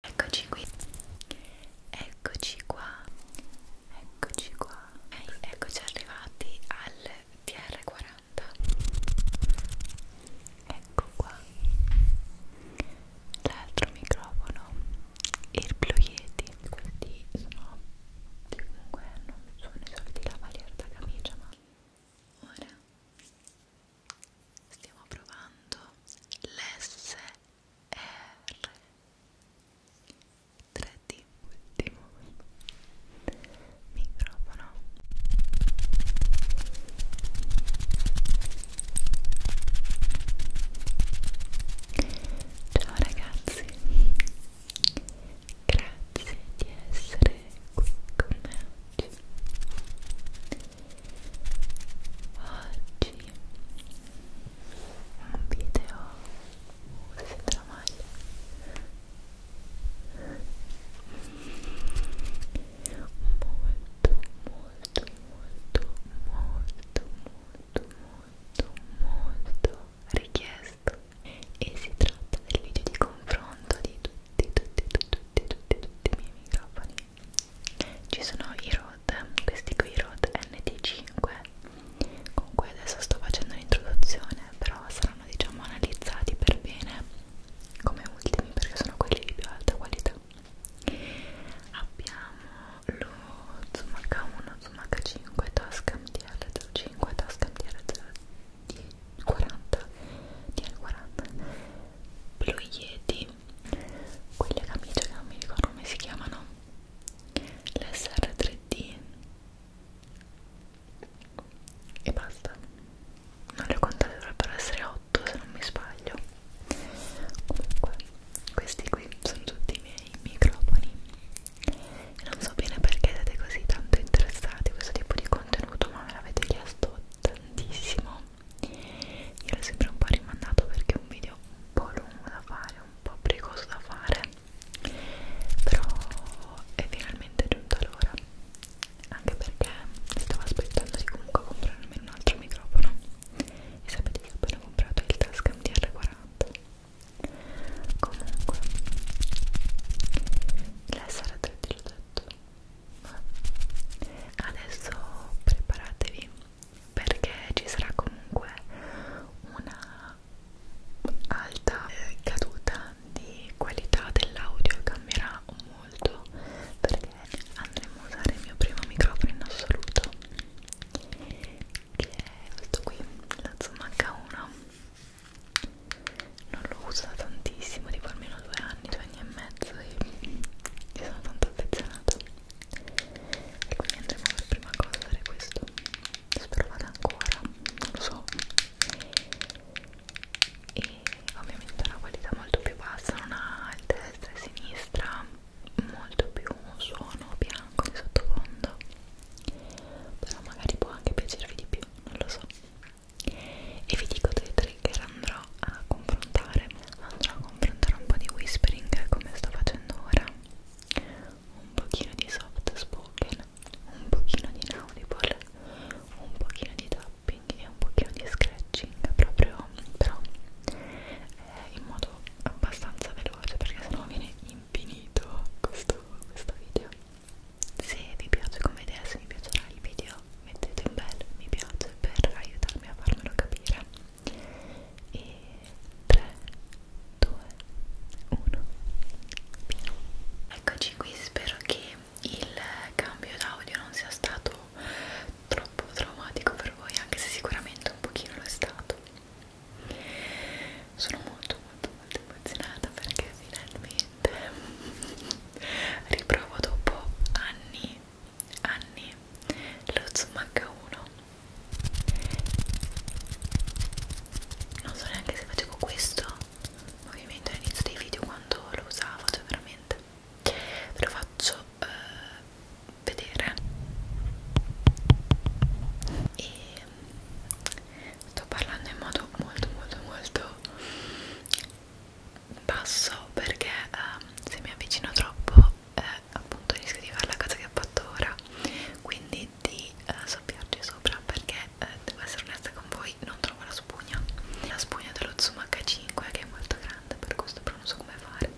Eccoci qui, eccoci qua, eccoci qua, okay, eccoci arrivati al TR40, ecco qua, l'altro microfono, il Blue Yeti, questi sono, comunque non sono i soliti lavalier da camicia ma ora stiamo provando l'S R 3D ultimo microfono ciao ragazzi grazie di essere qui con me oggi Oggi un video si tramaglia molto molto molto molto molto molto molto richiesto e si tratta del video di confronto di tutti tutti tutti tutti tutti, tutti i miei microfoni ci sono i ROD, questi qui ROD NT5 con cui adesso sto facendo l'introduzione però saranno diciamo analizzati per bene come ultimi perché sono quelli di più alta qualità abbiamo lo Zoom H1, Zoom H5, Tascam DL05, Tascam DL40, DL40 Blue Yeti quelle camicie che non mi ricordo come si chiamano l'SR3D e basta non le ho contate dovrebbero essere 8 se non mi sbaglio comunque questi qui sono tutti i miei microfoni e non so bene perché siete così tanto interessati a questo tipo di contenuto ma me l'avete chiesto tantissimo io l'ho sempre un po' rimandato perché è un video un po' lungo da fare un po' precoso da fare però è finalmente giunta l'ora anche perché stavo aspettando di comunque comprare almeno un altro microfono e sapete che ho appena comprato il Tascam DR40 comunque l'SR3 l'ho detto adesso preparatevi perché ci sarà comunque una alta caduta di qualità dell'audio cambierà molto perché andremo a usare il mio primo microfono in assoluto che è questo qui la Zoom H1 non lo uso tantissimo tipo almeno due anni due anni e mezzo e mi sono tanto affezionata e quindi andremo per prima cosa a fare questo spero vada ancora non lo so e ovviamente ha una qualità molto più bassa non ha il destra e sinistra molto più suono bianco di sottofondo però magari può anche piacervi di più non lo so e vi dico dei trigger andrò a confrontare andrò a confrontare un po' di whispering come sto facendo ora un pochino di soft spoken un pochino di inaudible un pochino di tapping e un pochino di scratching proprio però eh, in modo abbastanza veloce perché sennò viene infinito questo, questo video se vi piace come idea se vi piacerà il video mettete un bel mi piace per aiutarmi a farmelo capire e 3, 2, 1, via. Eccoci qui, spero che il cambio d'audio non sia stato troppo traumatico per voi, anche se sicuramente un pochino lo è stato. Sono molto molto molto emozionata perché finalmente riprovo dopo anni anni lo zoom H1 non so neanche se facevo questo movimento all'inizio dei video quando lo usavo cioè veramente ve lo faccio eh, vedere e sto parlando in modo molto molto molto basso perché eh, se mi avvicino troppo eh, appunto rischio di fare la cosa che ho fatto ora quindi di eh, soffiarci sopra perché eh, devo essere onesta con voi non trovo la spugna la spugna dello zoom h5 che è molto grande per questo però non so come fare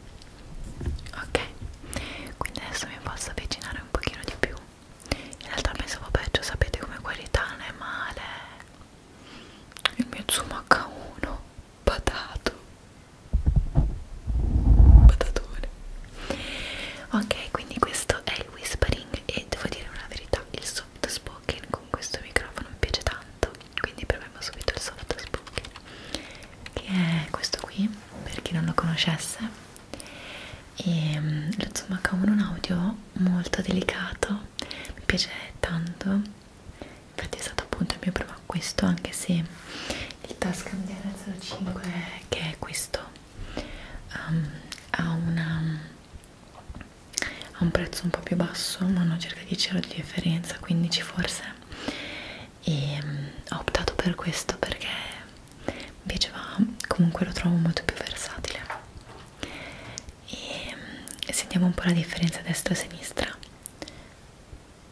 ok quindi adesso mi posso avvicinare un pochino di più in realtà pensavo peggio sapete come qualità non è male il mio zoom h1 patato patatone ok quindi questo è il whispering e devo dire una verità il soft spoken con questo microfono mi piace tanto quindi proviamo subito il soft spoken che è questo qui per chi non lo conoscesse e ehm, lo zoom H1 è un audio molto delicato mi piace tanto infatti è stato appunto il mio primo acquisto anche se il Tascam DR05 che è questo um, ha, una, ha un prezzo un po' più basso ma hanno circa 10 euro di differenza 15 forse e um, ho optato per questo perché mi piaceva comunque lo trovo molto più versatile e um, sentiamo un po' la differenza destra e sinistra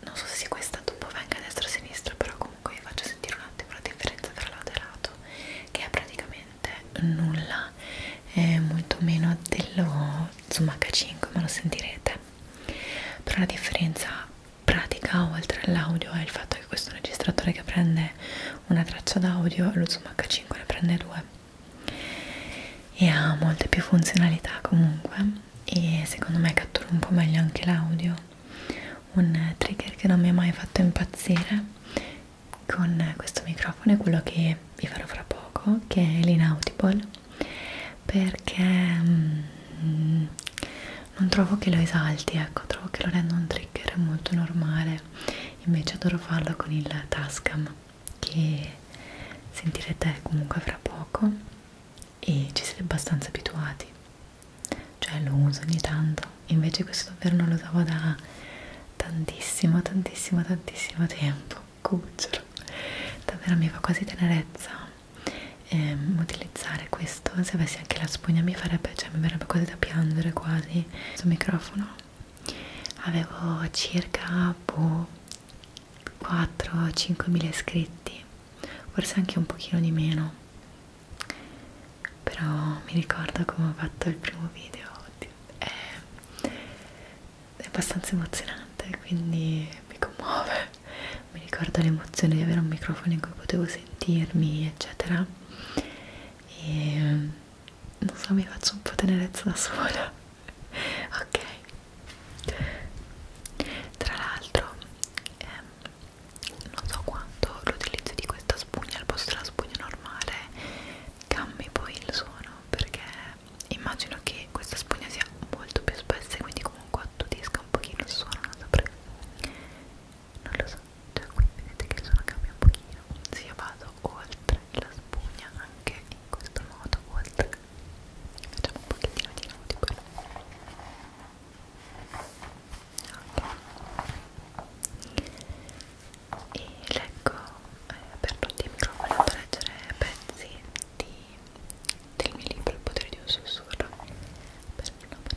non so se sia questa dopo venga a destra o a sinistra però comunque vi faccio sentire un attimo la differenza tra l'aderato che è praticamente nulla è molto meno dello Zoom H5 ma lo sentirete però la differenza pratica oltre all'audio è il fatto che questo registratore che prende una traccia d'audio lo Zoom H5 ne prende due e ha molte più funzionalità comunque e secondo me cattura un po' meglio anche l'audio un trigger che non mi ha mai fatto impazzire con questo microfono è quello che vi farò fra poco che è l'Inaudible perché mm, non trovo che lo esalti ecco trovo che lo renda un trigger molto normale invece adoro farlo con il Tascam che sentirete comunque fra poco e ci siete abbastanza abituati cioè lo uso ogni tanto invece questo davvero non lo usavo da tantissimo tantissimo tantissimo tempo cucciolo davvero mi fa quasi tenerezza ehm, utilizzare questo se avessi anche la spugna mi farebbe cioè mi verrebbe quasi da piangere quasi questo microfono avevo circa boh, 4-5 mila iscritti, forse anche un pochino di meno, però mi ricordo come ho fatto il primo video, è, è abbastanza emozionante, quindi mi commuove, mi ricordo l'emozione di avere un microfono in cui potevo sentirmi, eccetera, e non so, mi faccio un po' tenerezza da sola ok tra l'altro ehm, non so quanto l'utilizzo di questa spugna al posto della spugna normale cambi poi il suono perché immagino che questa spugna sia molto più spessa e quindi comunque attudisca un pochino il suono non saprei non lo so cioè qui vedete che il suono cambia un pochino se io vado oltre la spugna anche in questo modo oltre facciamo un pochettino di nautico ok e leggo eh, per tutti i microfoni vado a leggere pezzi di, del mio libro Il potere di un sussurro per non Portare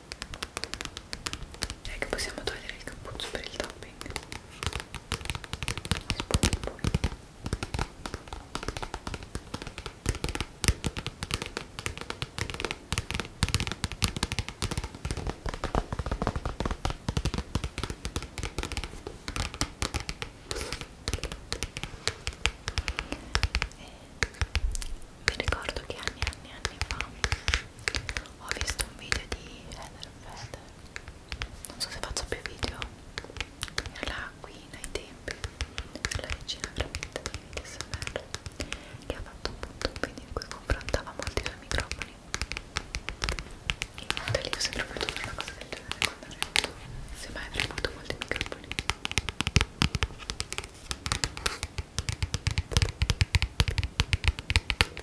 direi che possiamo togliere il cappuccio per il topping Spugni poi e mi ricordo che anni e anni, anni fa ho visto un video di Heather Fed non so se faccio più video era qui nei tempi la regina veramente dei video smr che ha fatto appunto un video in cui confrontava molti due microfoni e lì ho sempre voluto fare una cosa del genere quando ho detto se mai avrei avuto molti microfoni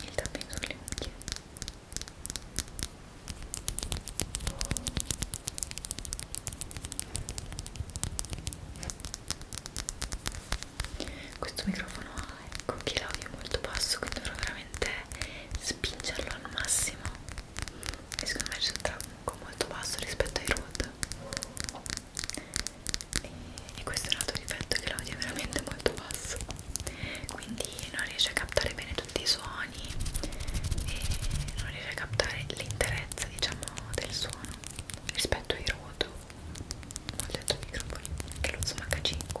il tapping sulle unghie questo microfono ha ecco che l'audio è molto basso quindi dovrò veramente spingerlo al massimo e secondo me c'è un tronco molto basso rispetto ai root e, e questo è un altro difetto che l'audio è veramente molto basso quindi non riesce a captare bene tutti i suoni e non riesce a captare l'interezza diciamo del suono rispetto ai root ho detto microfoni che lo zoom H5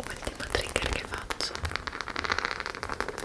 Ultimo trigger che faccio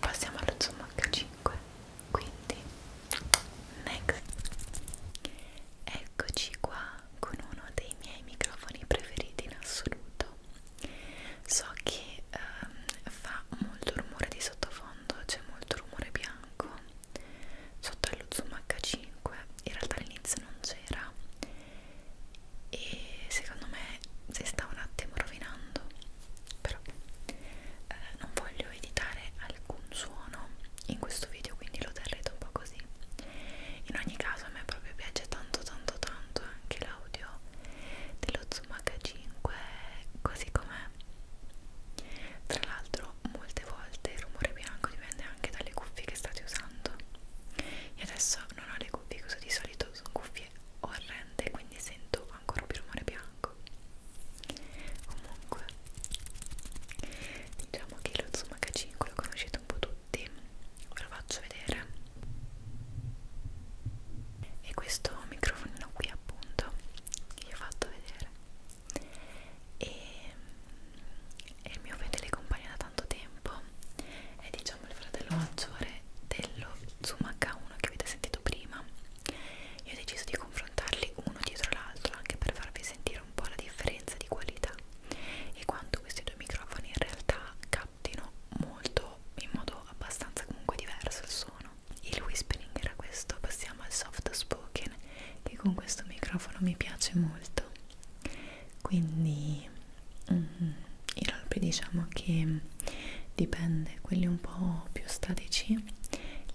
Passiamo allo zoom H5, quindi next. Eccoci qua con uno dei miei microfoni preferiti in assoluto. So che ehm, fa molto rumore di sottofondo, c'è molto rumore bianco, sotto allo zoom H5 in realtà all'inizio non c'era e secondo me si sta un attimo rovinando però eh, non voglio editare alcun suono in questo video quindi lo terrete un po' così in ogni caso a me proprio piace tanto tanto tanto anche l'audio dello zoom H5 così com'è tra l'altro però molte volte il rumore bianco dipende anche dalle cuffie che state usando io adesso non ho le cuffie che uso di solito sono cuffie orrende quindi sento ancora più rumore bianco comunque diciamo che lo Zoom H5 lo conoscete un po' tutti ve lo faccio vedere e questo microfonino qui appunto che vi ho fatto vedere e, e il mio fedele compagno da tanto tempo è diciamo il fratello maggiore dello Zoom H1 che avete sentito prima io ho deciso di confrontarli uno dietro l'altro anche per farvi sentire un po' la differenza di qualità e quanto questi due microfoni in realtà captino molto in modo abbastanza comunque diverso il suono il whispering era questo passiamo al soft spoken che con questo microfono mi piace molto quindi mm, i roleplay diciamo che dipende quelli un po' più statici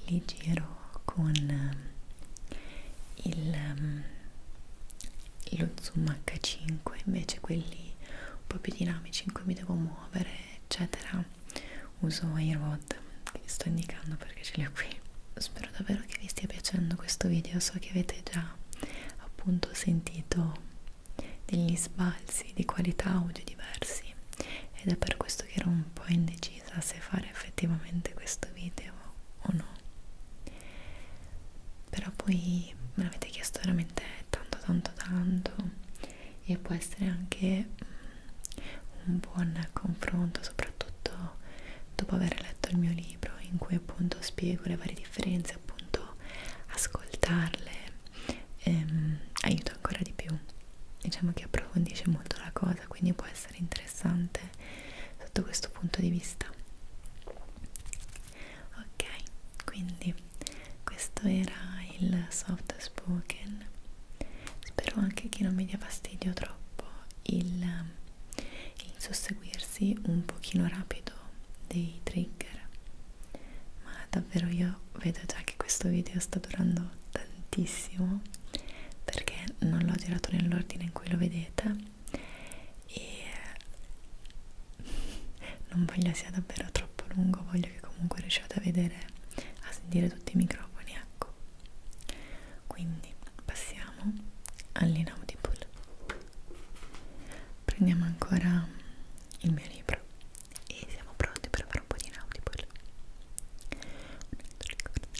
li giro con eh, il, mm, lo zoom h5 invece quelli un po' più dinamici in cui mi devo muovere eccetera uso i, ro chat che vi sto indicando perché ce li ho qui spero davvero che vi stia piacendo questo video so che avete già appunto sentito degli sbalzi di qualità audio diversi ed è per questo che ero un po' indecisa se fare effettivamente questo video o no però poi me l'avete chiesto veramente tanto tanto tanto e può essere anche mm, un buon confronto soprattutto dopo aver letto il mio libro in cui appunto spiego le varie differenze, appunto ascoltarle ehm, aiuta ancora di più, diciamo che approfondisce molto la cosa, quindi può essere interessante sotto questo punto di vista. Ok, quindi questo era il soft spoken. Spero anche che non mi dia fastidio troppo il il susseguirsi un pochino rapido dei trigger ma davvero io vedo già che questo video sta durando tantissimo perché non l'ho girato nell'ordine in cui lo vedete e eh, non voglio sia davvero troppo lungo voglio che comunque riusciate a vedere a sentire tutti i microfoni ecco quindi passiamo all'inaudible prendiamo ancora il mio libro e siamo pronti per fare un po' di inaudible Ecco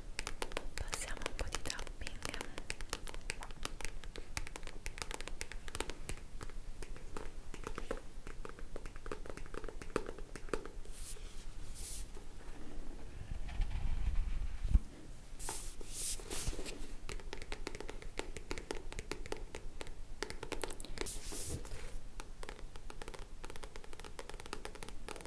passiamo un po' di tapping ok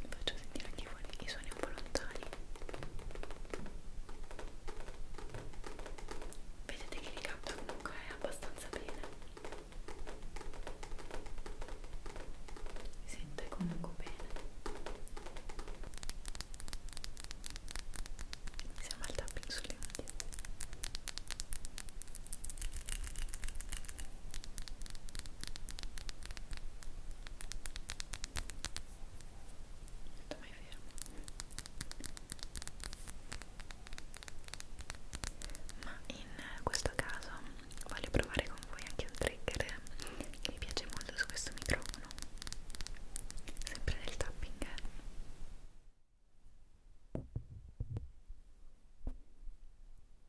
vi faccio sentire anche i suoni un po' lontani vedete che li capta comunque eh, abbastanza bene si sente comunque bene siamo al tapping sulle mani sto mai fermo ma in questo caso voglio provare con voi anche un trigger che mi piace molto su questo microfono sempre del tapping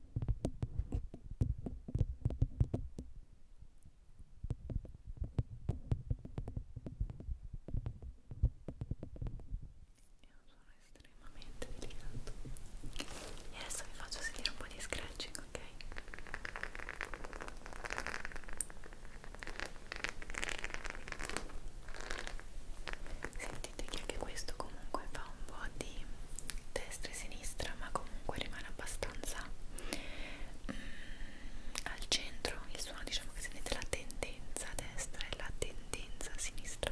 suono estremamente delicato e adesso vi faccio sentire un po' di scratching, ok? Sentite che anche questo comunque fa un po' di destra e sinistra sinistra ma comunque rimane abbastanza mm, al centro il suono diciamo che sentite la tendenza a destra e la tendenza a sinistra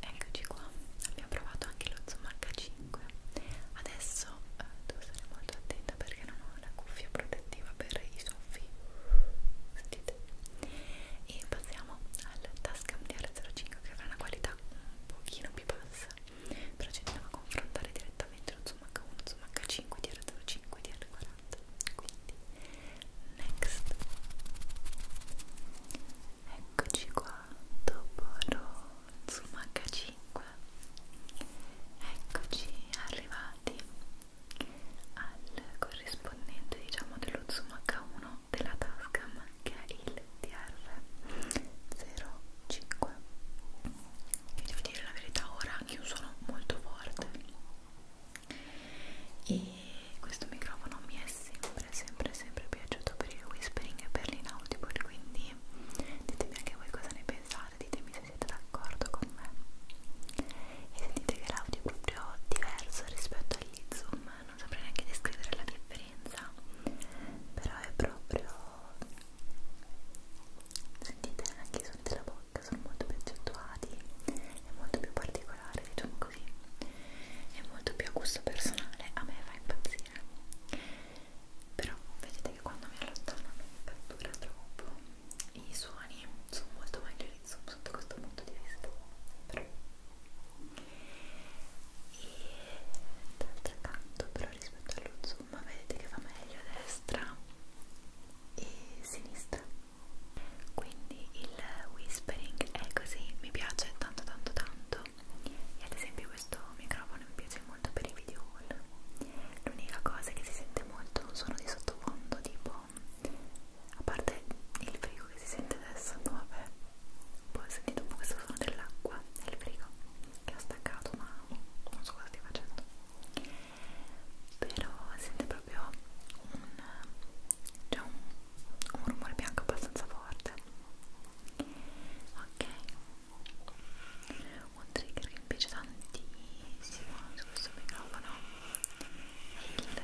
Eccoci qua, abbiamo provato anche lo Zoom H5 Adesso eh, devo stare molto attenta perché non ho la cuffia protettiva per i soffi Sentite? E passiamo al Tascam DR05 che avrà una qualità un pochino più bassa Però ci andiamo a confrontare direttamente lo Zoom H1, Zoom H5, DR05 DR40 quindi next eccoci qua dopo Zoom H5 eccoci arrivati al corrispondente diciamo dello Zoom H1 della Tascam che è il DR05 vi devo dire la verità ora che io sono molto forte e questo microfono mi è sempre sempre sempre piaciuto per il whispering e per l'inaudible quindi ditemi anche voi cosa ne pensate ditemi se siete d'accordo con me e sentite che l'audio è proprio diverso rispetto agli zoom non saprei neanche descrivere la differenza però è proprio sentite anche i suoni della bocca sono molto più accentuati è molto più particolare diciamo così è molto più a gusto personale a me fa impazzire però vedete che quando mi allontano non mi cattura troppo i suoni sono molto maggiorissimi sotto questo punto di vista però e d'altro canto però rispetto allo zoom vedete che fa meglio a destra e sinistra quindi il whispering è così, mi piace tanto tanto tanto e ad esempio questo microfono mi piace molto per i video haul l'unica cosa che si sente molto è un suono di sottofondo tipo a parte il frigo che si sente adesso, no vabbè poi ho sentito un po' questo suono dell'acqua nel frigo che ho staccato ma non so cosa stia facendo però sente proprio un c'è un, un rumore bianco abbastanza forte ok un trigger che mi piace tantissimo su questo microfono è il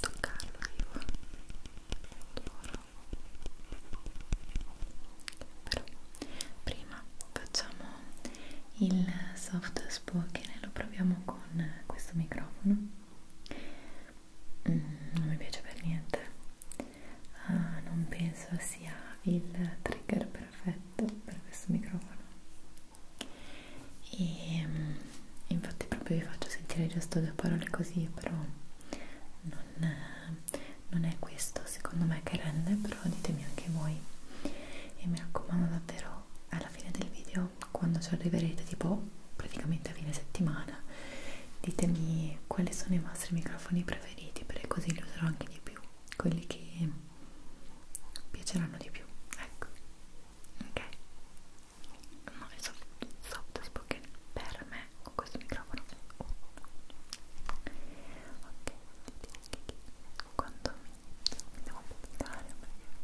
toccarlo io adoro però prima facciamo il soft spoken e lo proviamo con questo microfono mm, non mi piace per niente ah, non penso sia il trigger perfetto per questo microfono e mm, infatti proprio vi faccio sentire giusto due parole così però non, non è questo secondo me che rende però ditemi anche voi e mi raccomando davvero alla fine del video allora quando ci arriverete tipo praticamente a fine settimana ditemi quali sono i vostri microfoni preferiti perché così li userò anche di più quelli che piaceranno di più ecco ok no è soft, soft spoken per me con questo microfono ok quando mi devo pubblicare perché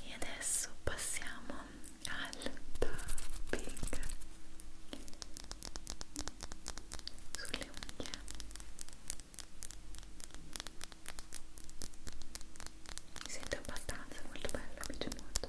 e adesso passiamo al tapping sulle unghie mi sento abbastanza molto bello, mi piace molto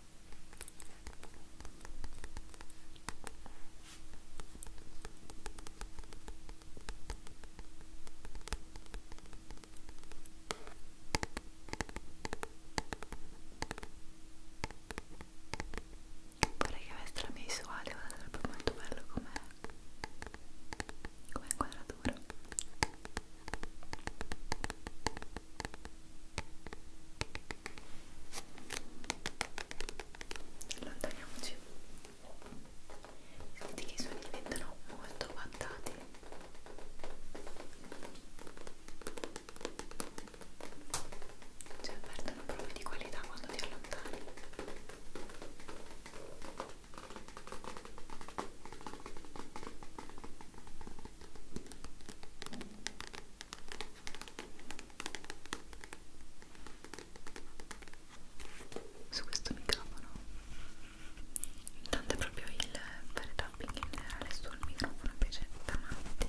Vorrei che aveste la mia visuale, guarda sarebbe molto bello come inquadratura. Allontaniamoci. Senti che i suoni diventano molto guardati. Cioè perdono proprio di qualità quando ti allontani su questo microfono intanto è proprio il fare tapping in generale sul microfono invece davanti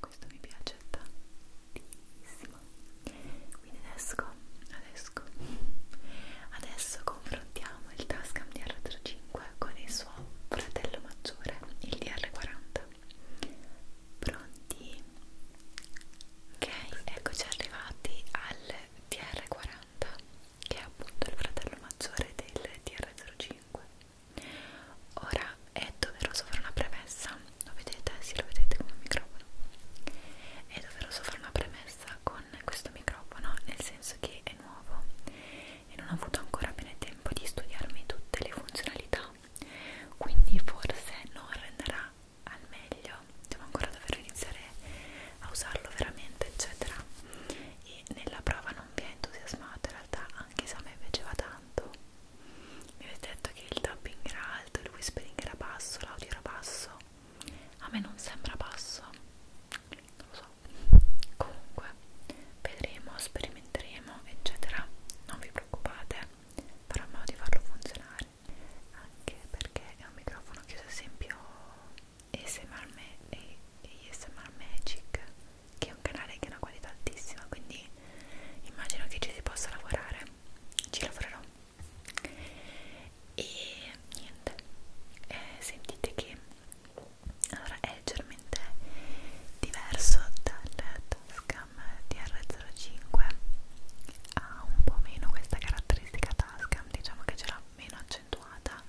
Questo mi piace tantissimo. Quindi adesso, adesso, adesso confrontiamo il Tascam DR05 con il suo fratello maggiore, il DR40. Pronti? Ok, eccoci arrivati al TR40 che è appunto il fratello maggiore del TR05 Ora è doveroso fare una premessa, lo vedete? Sì, lo vedete come microfono È doveroso fare una premessa con questo microfono nel senso che è nuovo e non ho avuto ancora bene tempo di studiarmi tutte le funzionalità no quindi forse non renderà al meglio devo ancora dover iniziare a usarlo veramente eccetera e nella prova non vi è entusiasmato in realtà anche se a me piaceva tanto mi avete detto che il tapping era alto il whispering era basso l'audio era basso a me non sembra basso non lo so comunque vedremo sperimenteremo eccetera non vi preoccupate farò in modo di farlo funzionare anche perché è un microfono che uso esempio ASMR me e ASMR Magic che è un canale che ha una qualità altissima quindi immagino che ci si possa lavorare ci lavorerò e niente eh, sentite che allora è leggermente diverso dalla tasca Freedom DR05 ha un po' meno questa caratteristica tasca, diciamo che ce l'ha meno accentuata,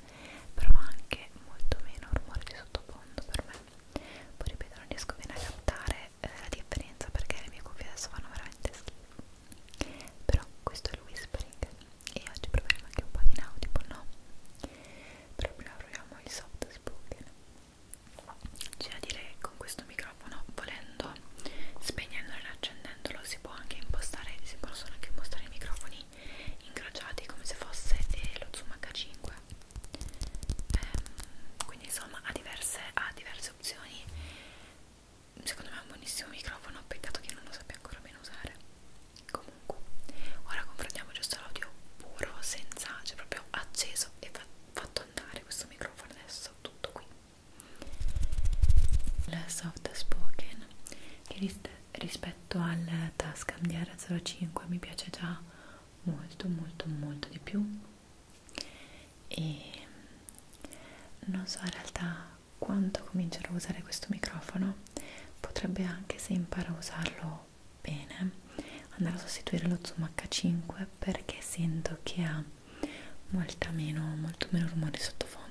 però ha anche molto meno rumore di sottofondo per me. Poi ripeto, non riesco bene a captare eh, la differenza perché le mie cuffie adesso fanno veramente schifo. Però questo è il whispering e oggi proveremo anche un po' di inaudible, no? Però prima proviamo il soft spoken. C'è da dire che con questo microfono, volendo, spegnendolo e accendendolo, si può anche impostare, si possono anche impostare i microfoni incrociati come se fosse eh, lo Zoom H5. Ehm, quindi insomma ha diverse, ha diverse opzioni. Secondo me è un buonissimo microfono, peccato che non lo sappia ancora bene usare. Comunque, ora confrontiamo giusto l'audio puro, senza, cioè proprio acceso e fatto fatto andare questo microfono adesso tutto qui il soft spoken che ris rispetto al Tascam DR05 mi piace già molto molto molto di più e non so in realtà quando comincerò a usare questo microfono potrebbe anche se imparo a usarlo bene andare a sostituire lo Zoom H5 perché sento che ha molta meno, molto meno rumore sottofondo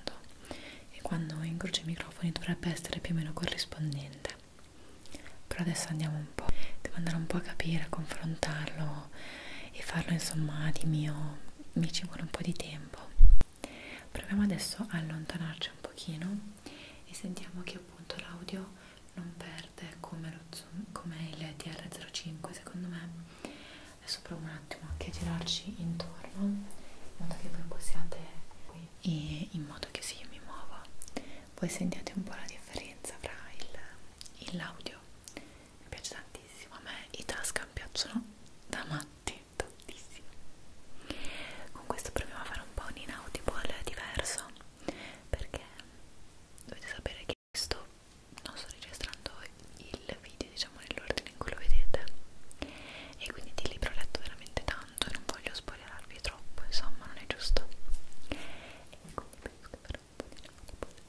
e quando incrocio i microfoni dovrebbe essere più o meno corrispondente però adesso andiamo un po' devo andare un po' a capire, a confrontarlo e farlo insomma di mio mi ci vuole un po' di tempo proviamo adesso a allontanarci un pochino e sentiamo che appunto l'audio non perde verde come, lo, come il TR05 secondo me adesso provo un attimo anche a girarci intorno in modo che voi possiate qui e in modo che se io mi muovo voi sentiate un po' la differenza fra l'audio mi piace tantissimo a me i tasca piacciono da matti tantissimo con questo proviamo a fare un po' un inaudible diverso perché dovete sapere che questo non sto registrando il video diciamo nell'ordine in cui lo vedete e quindi di libro ho letto veramente tanto e non voglio spoilerarvi troppo insomma non è giusto e quindi penso che per un po' di non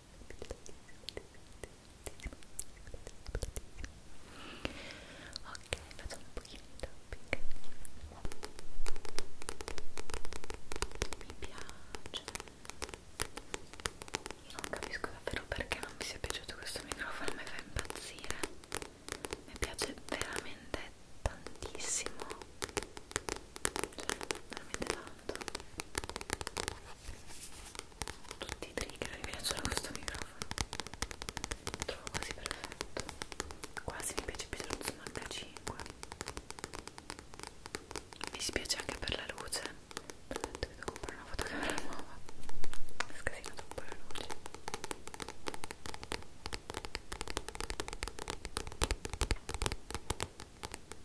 ok facciamo un pochino di tapping mi piace io non capisco davvero perché non vi sia piaciuto questo microfono mi fa impazzire mi piace veramente tantissimo cioè veramente tanto fatto tutti i trigger mi piacciono questo microfono lo trovo quasi perfetto quasi mi piace più dello Zoom H5 mi dispiace anche per la luce perché devo comprare una fotocamera nuova mi scasina troppo la luce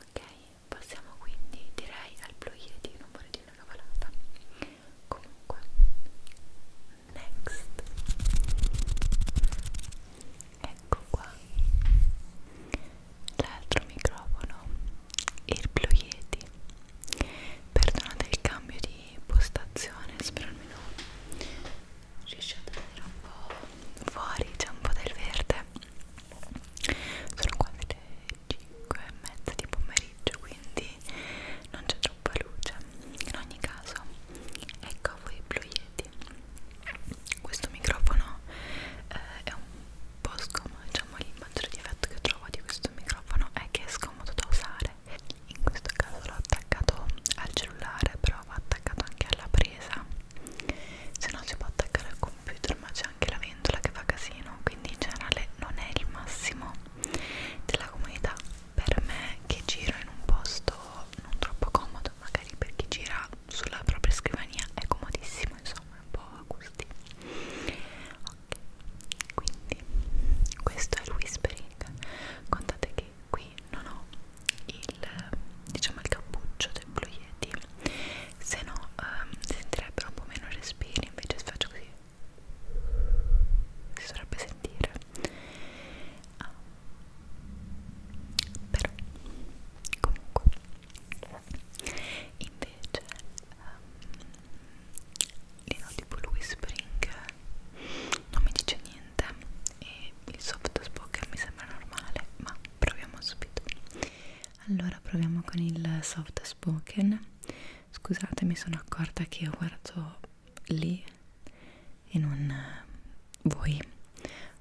ok passiamo quindi direi al blu yeti non vorrei dire una cavalata comunque next ecco qua l'altro microfono il blu yeti perdonate il cambio di postazione spero almeno riesce a tenere un po' fuori, c'è un po' del verde sono quasi le 5 e mezza di pomeriggio quindi non c'è troppa luce in ogni caso ecco a voi Blue Yeti questo microfono eh, è un po' scomodo diciamo il maggiore difetto che trovo di questo microfono è che è scomodo da usare in questo caso l'ho attaccato al cellulare però va attaccato anche alla presa se no si può attaccare al computer ma c'è anche la ventola che fa casino quindi in generale non è il massimo della comodità per me che giro in un posto non troppo comodo magari per chi gira sulla propria scrivania è comodissimo insomma è un po' a gusti ok quindi questo è il whispering contate che qui non ho il diciamo il cappuccio del Blue Yeti se no ehm, sentirebbero un po' meno respiri invece se faccio così si dovrebbe sentire ah. però comunque invece um, li noto tipo Louis Spring non mi dice niente e il soft spoken mi sembra normale ma proviamo subito allora proviamo con il soft spoken scusate mi sono accorta che io guardo lì e non eh, voi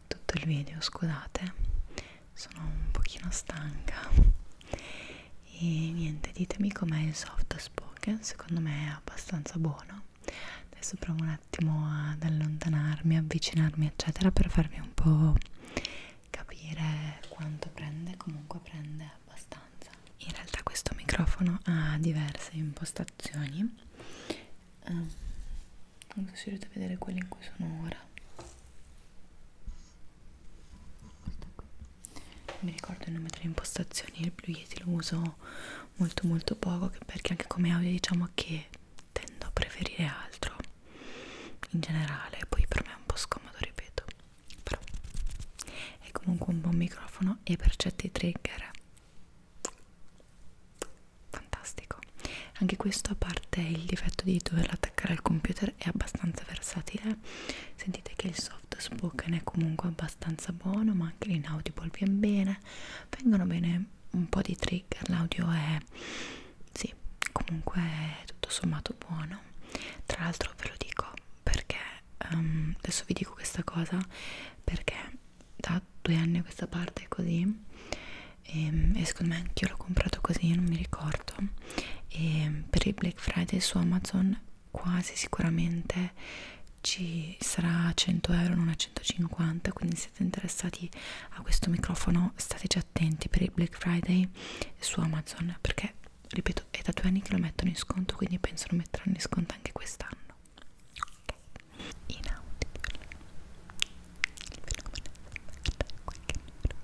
tutto il video scusate sono un pochino stanca e niente ditemi com'è il soft spoken secondo me è abbastanza buono adesso provo un attimo ad allontanarmi, avvicinarmi eccetera per farvi un po' capire quanto prende, comunque prende abbastanza in realtà questo microfono ha diverse impostazioni um, non so se riuscite a vedere quelle in cui sono ora questa qui non mi ricordo il nome delle impostazioni, il blu yeti lo uso molto molto poco perché anche come audio diciamo che tendo a preferire altro in generale poi per me è un po' scomodo ripeto però è comunque un buon microfono e per certi trigger fantastico anche questo a parte il difetto di doverlo attaccare al computer è abbastanza versatile sentite che il soft spoken è comunque abbastanza buono ma anche l'inaudible viene bene bene vengono bene un po' di trigger l'audio è sì comunque è tutto sommato buono tra l'altro ve lo dico perché um, adesso vi dico questa cosa perché da due anni a questa parte è così e, ehm, e secondo me anch'io l'ho comprato così non mi ricordo e per il Black Friday su Amazon quasi sicuramente ci sarà a 100 euro non a 150 quindi se siete interessati a questo microfono stateci attenti per il Black Friday su Amazon perché ripeto è da due anni che lo mettono in sconto quindi penso lo metteranno in sconto anche quest'anno okay. inaudibile il fenomeno è qualche numero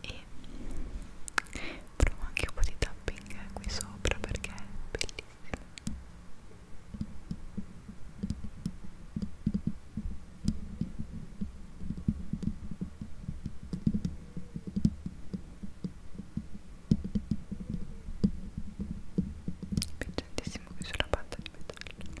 e provo anche un po' di tapping qui sopra perché è bellissimo piacentissimo qui sulla parte di metallo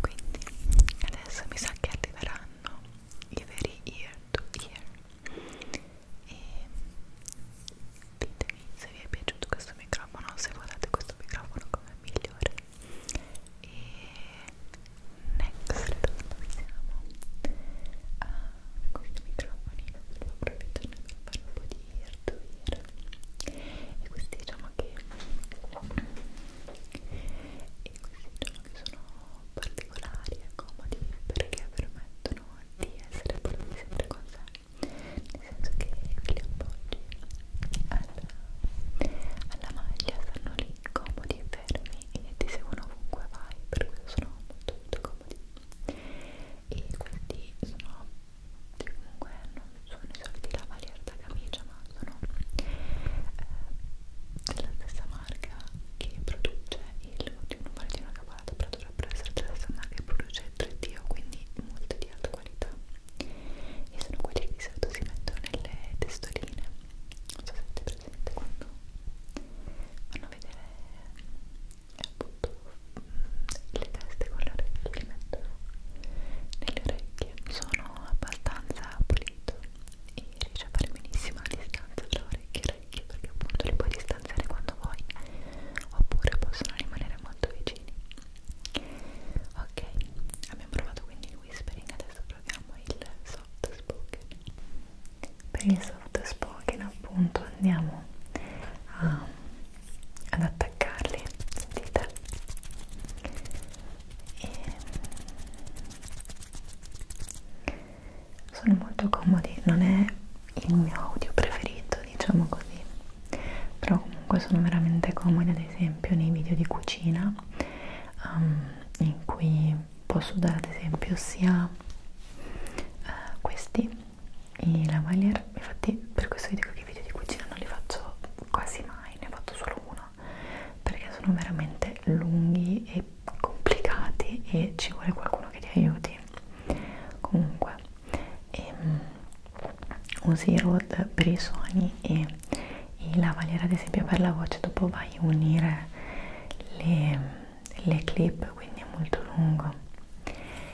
quindi adesso mi sa che arriveranno i veri ear to ear e ditemi se vi è piaciuto questo microfono se volete questo microfono come migliore e next passiamo a questo microfonino che lo approfitto per fare un po' di to ear e questi diciamo che e questi diciamo che sono particolari e eh, comodi perché permettono di essere portati sempre con sé nel senso che li appoggi alla, alla maglia stanno lì comodi e fermi e ti seguono ovunque vai per questo sono molto molto comodi e questi sono comunque non sono i soliti lavalier da camicia ma sono eh, della stessa marca che produce il un paletino accaparato però dovrebbero essere della stessa marca che produce il 3D quindi molto di alta qualità e sono quelli che di solito si mettono nelle testoline non so se avete presente quando vanno a vedere appunto le teste con l'orecchio li mettono nelle orecchie sono abbastanza pulito e riesce a fare benissimo la distanza tra orecchie e orecchie perché appunto li puoi distanziare quando vuoi oppure possono rimanere molto vicini ok abbiamo provato quindi il whispering adesso proviamo il soft spoken per il soft spoken appunto andiamo a ad attaccarli, sentite? E sono molto comodi, non è il mio audio preferito, diciamo così, però comunque sono veramente comodi, ad esempio nei video di cucina um, in cui posso dare ad esempio sia uh, questi i lavalier cioè infatti per questo vi dico che i video di cucina non li faccio quasi mai, ne ho fatto solo uno perché sono veramente lunghi e complicati e ci vuole qualcuno che ti aiuti comunque e, um, usi i road per i suoni e la lavagliera ad esempio per la voce dopo vai a unire le, le clip quindi è molto lungo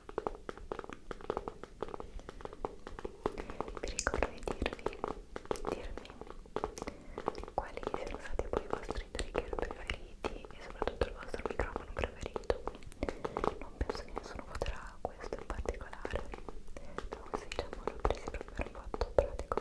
Vi ricordo di dirvi, dirvi quali siano stati poi i vostri trigger preferiti e soprattutto il vostro microfono preferito. Non penso che nessuno voterà questo in particolare, però se diciamo l'ho preso proprio per fatto pratico.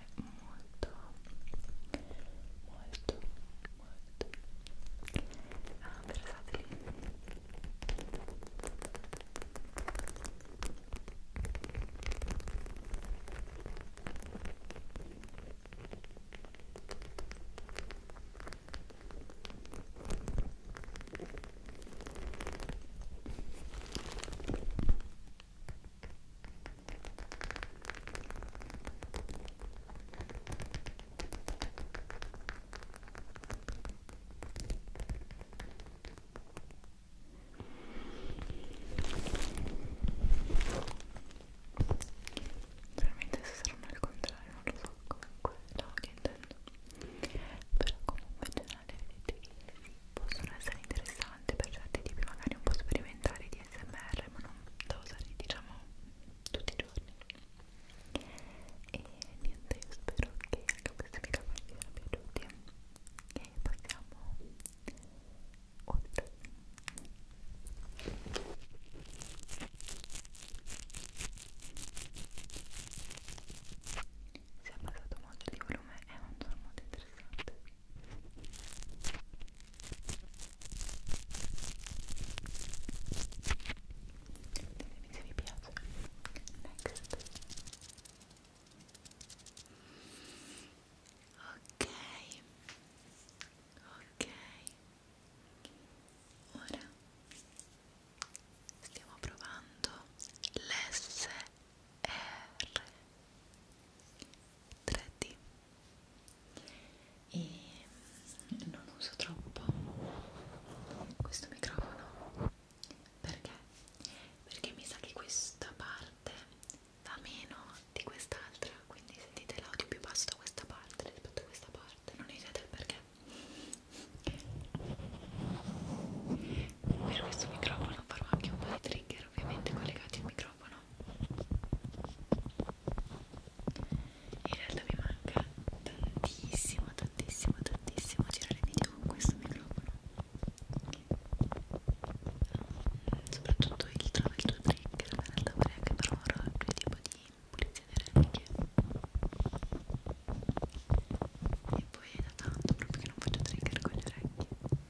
molto molto molto ah, versatili Veramente se saranno al contrario non lo so, comunque no, che intendo. Però comunque in generale vedete che possono essere interessanti per certi tipi magari un po' sperimentali di smr ma non da usare diciamo tutti i giorni e niente io spero che anche questi video vi siano piaciuti e passiamo oltre si è abbassato molto di volume è un suono molto interessante Ditemi se vi piace. Next. Ok. Ok. Ora stiamo provando l'SR. 3D e mm, non uso troppo questo microfono perché? Perché mi sa che questa parte va meno di quest'altra, quindi sentite l'audio più basso da questa parte rispetto a questa parte, non esete il perché. Per questo microfono farò anche un po' di trigger tenere ovviamente collegati il microfono in realtà mi manca tantissimo tantissimo tantissimo girare video con questo microfono soprattutto il trova il tuo trigger in realtà vorrei anche per un roleplay tipo di pulizia delle orecchie e poi è da tanto proprio che non faccio trigger con le orecchie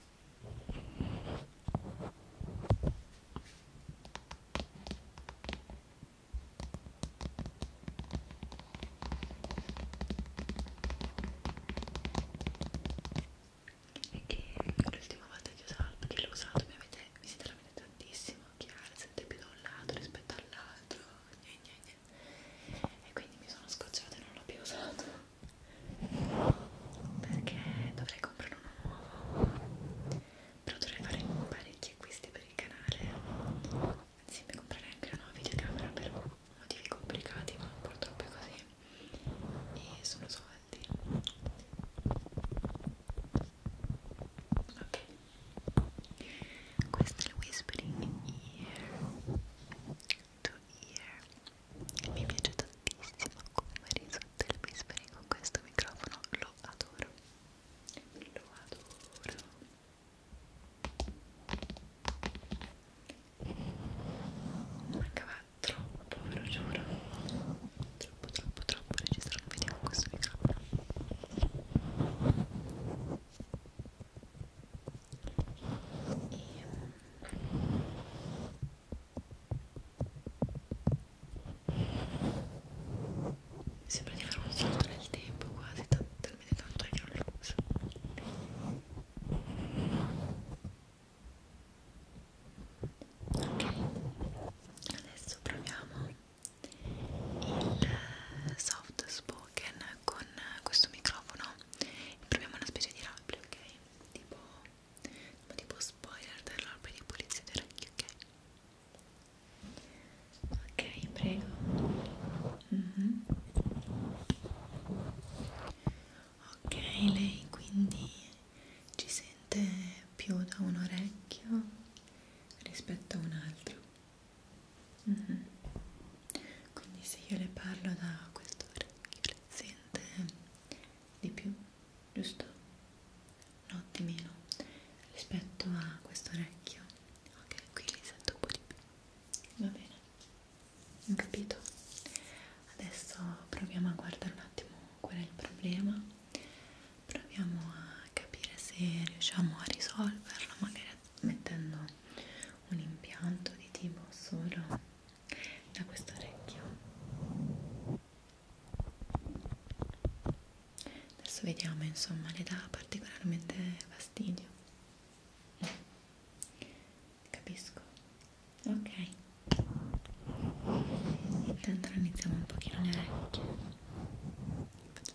e che l'ultima volta che, usato, che l'ho usato mi avete mi siete veramente tantissimo chiaro siete più da un lato rispetto all'altro e quindi mi sono scocciata e non l'ho più usato perché dovrei comprare uno nuovo però dovrei fare parecchi acquisti per il canale anzi mi comprerei anche una nuova videocamera per motivi complicati ma purtroppo è così e sono soldi ok questo è il whispering ear to ear mi piace tantissimo come risulta il whispering con questo microfono lo adoro lo adoro mancava troppo ve lo giuro troppo troppo troppo registrare un video con questo microfono e Sembra di fare un salto nel tempo quasi, talmente tanto è violento. Ok, adesso proviamo il soft spoken con questo microfono e proviamo una specie di rabbia, ok? Tipo ma tipo spoiler dell'albero di pulizia dei ragni, ok? Ok, prego. Mm -hmm. Ok, lei quindi ci sente più da un orecchio rispetto a un altro. Mm -hmm. Quindi se io le parlo da questo orecchio, le sente di più, giusto? No, di meno rispetto a questo orecchio. Ok, qui li sento un po' di più. Va bene, ho capito. Adesso proviamo a guardare un attimo qual è il problema. Proviamo a capire se riusciamo a risolverlo, magari mettendo un impianto di tipo solo da questo orecchio adesso vediamo insomma le dà particolarmente fastidio capisco ok intanto iniziamo un pochino le orecchie facciamo anche un po' di notte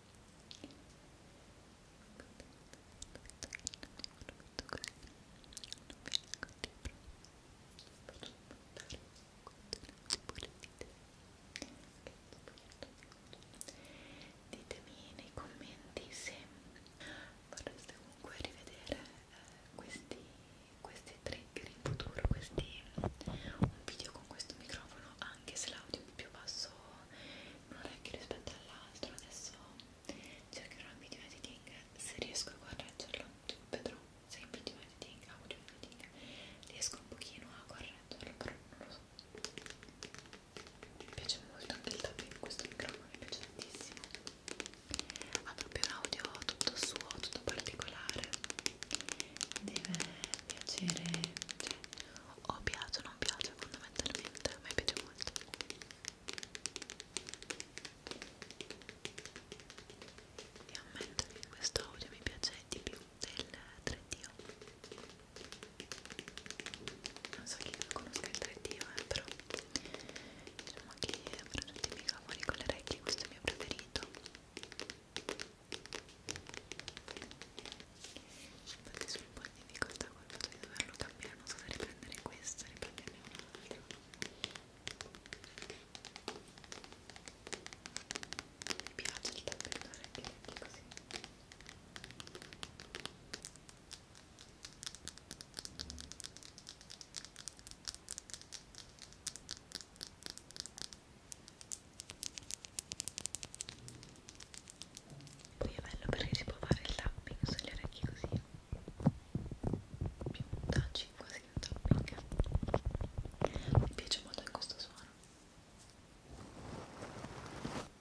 Ditemi nei commenti se vorreste comunque rivedere eh, questi, questi trigger in futuro, questi, un video con questo microfono. Ah, anche se l'audio è più basso in un orecchio rispetto all'altro adesso cercherò il video editing se riesco a correggerlo vedrò se il video editing audio editing riesco un pochino a correggerlo però non lo so mi piace molto anche il tapping in questo microfono mi piace tantissimo ha proprio un audio tutto suo tutto particolare deve piacere cioè o piace o non piace fondamentalmente, a me piace molto e ammetto che questo audio mi piace di più del 3D non so chi conosca il 3D eh, però diciamo che per tutti i microfoni con le orecchie questo è il mio preferito infatti sono un po' in difficoltà col fatto di doverlo cambiare non so se riprendere questo, riprenderne un altro mi piace il tappetore che è così poi è bello perché si può fare il tapping sulle orecchie così più un touching quasi un tapping mi piace molto in questo suono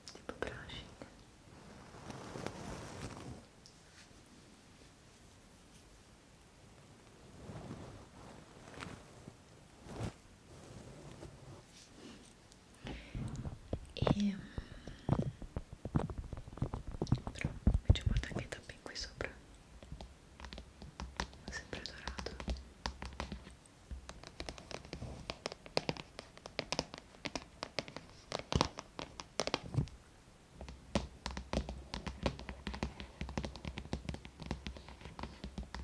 tipo brushing e mm, però mi ci porta anche i tappi qui sopra sempre dorato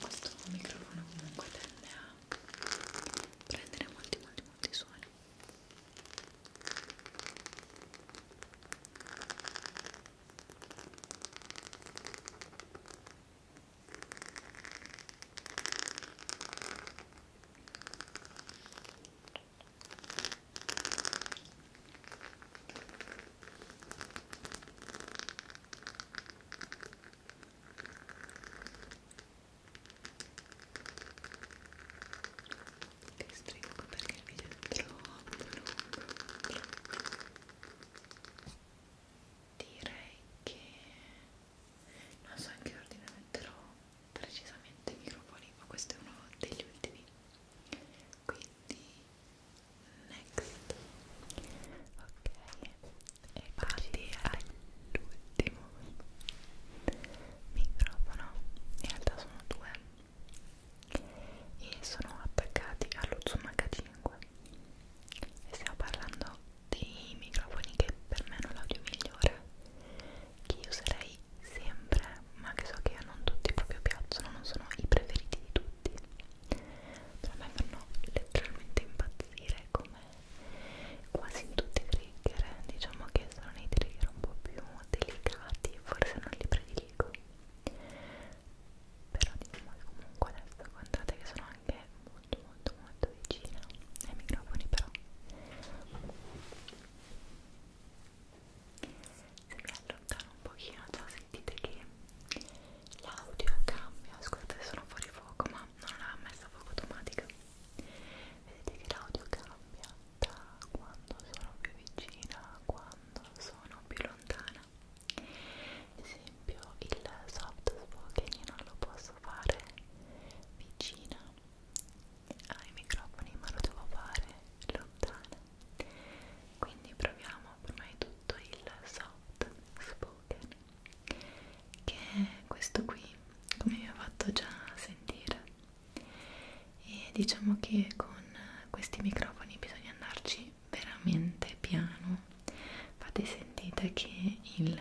Questo microfono comunque tende a prendere molti molti molti suoni. Che stringo perché il video è troppo lungo. Direi che non so in che ordine metterò precisamente i microfoni ma questo è uno degli ultimi quindi next ok e parti all'ultimo microfono in realtà sono due e sono attaccati allo zoom h5 e stiamo parlando dei microfoni che per me hanno l'audio migliore che io userei sempre ma che so che a non tutti proprio piacciono non sono i preferiti di tutti però a me fanno letteralmente impazzire come quasi in tutti i trigger diciamo che sono nei trigger un po' più delicati forse non li prediligo però diciamo che comunque adesso guardate che sono anche molto molto molto vicina ai microfoni però se mi allontano un pochino già sentite che l'audio cambia scusate sono fuori fuoco ma non l'ha messa a fuoco automatica vedete che l'audio cambia da quando sono più vicina a quando sono più lontana ad esempio il soft spoken io non lo posso fare vicina ai microfoni ma lo devo fare lontana quindi proviamo prima di tutto il soft spoken che è questo qui come vi ho fatto già sentire e diciamo che con questi microfoni bisogna andarci veramente piano infatti sentite che il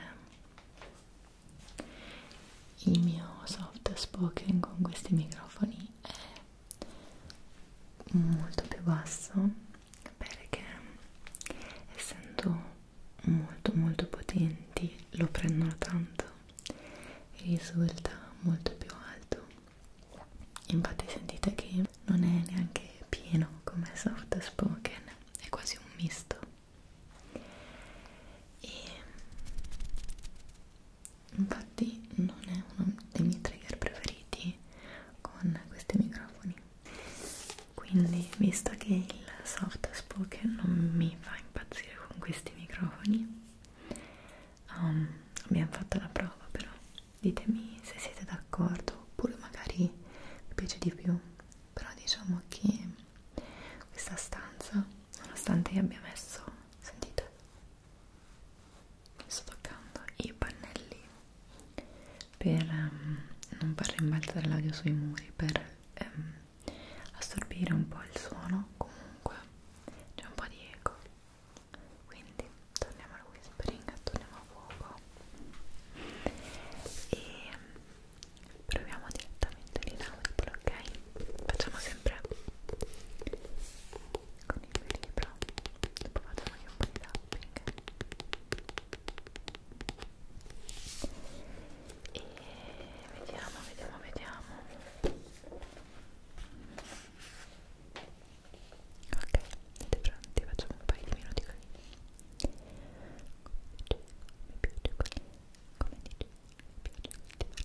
il mio soft spoken con questi microfoni è molto più basso perché essendo molto molto potenti lo prendono tanto e risulta molto più alto infatti sentite che non è neanche pieno come soft spoken è quasi un misto e infatti non è uno dei miei trigger preferiti con questi microfoni quindi visto che il soft spoken non mi fa impazzire con questi microfoni um, abbiamo fatto la prova però ditemi se siete d'accordo oppure magari vi piace di più però diciamo che questa stanza nonostante io abbia messo sentite sto toccando i pannelli per um, non far rimbalzare l'audio sui muri per um, assorbire un po' il suono comunque c'è un po' di eco quindi torniamo al whispering torniamo a fuoco e proviamo direttamente mentolina Whipple, ok? Facciamo sempre con il mio libro, dopo facciamo anche un po' di tapping e vediamo, vediamo, vediamo ok, siete pronti? facciamo un paio di minuti così mi piace, mi piace così come dici, mi piace, ti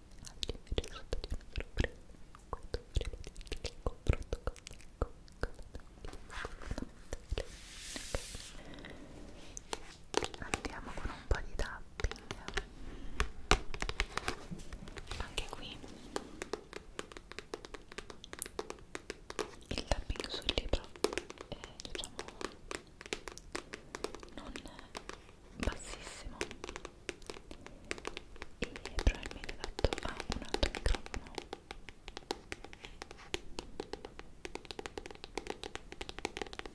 altri invece sotto di una sorpresa quando volevo dirti che il confronto con Nico con okay. andiamo con un po' di tapping anche qui il tapping sul libro è diciamo non bassissimo e probabilmente adatto a un altro microfono Confrontiamolo andando vicino e lontano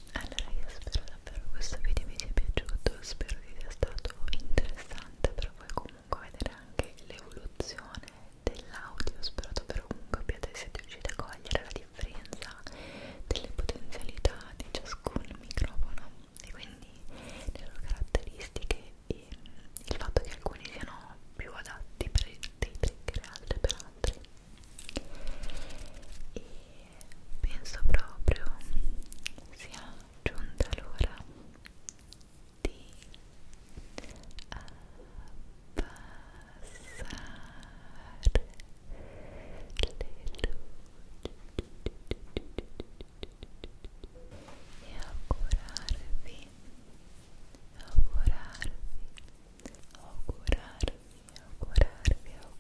Allora io spero davvero questo video vi sia piaciuto, spero che sia stato interessante per voi comunque vedere anche l'evoluzione dell'audio, spero davvero comunque abbiate siete riusciti a cogliere la differenza delle potenzialità di ciascun microfono e quindi le loro caratteristiche e il fatto che alcuni siano più adatti per dei trigger e altri per altri. E penso proprio sia giunta l'ora di abbassare eh, le luci e augurarvi augurarvi augurarvi augurarvi augurarvi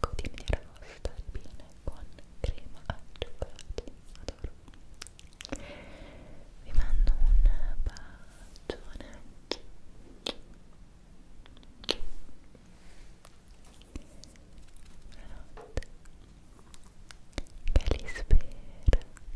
quotidiana nostra albina con crema al cioccolato adoro vi mando un bacione buonanotte che li spera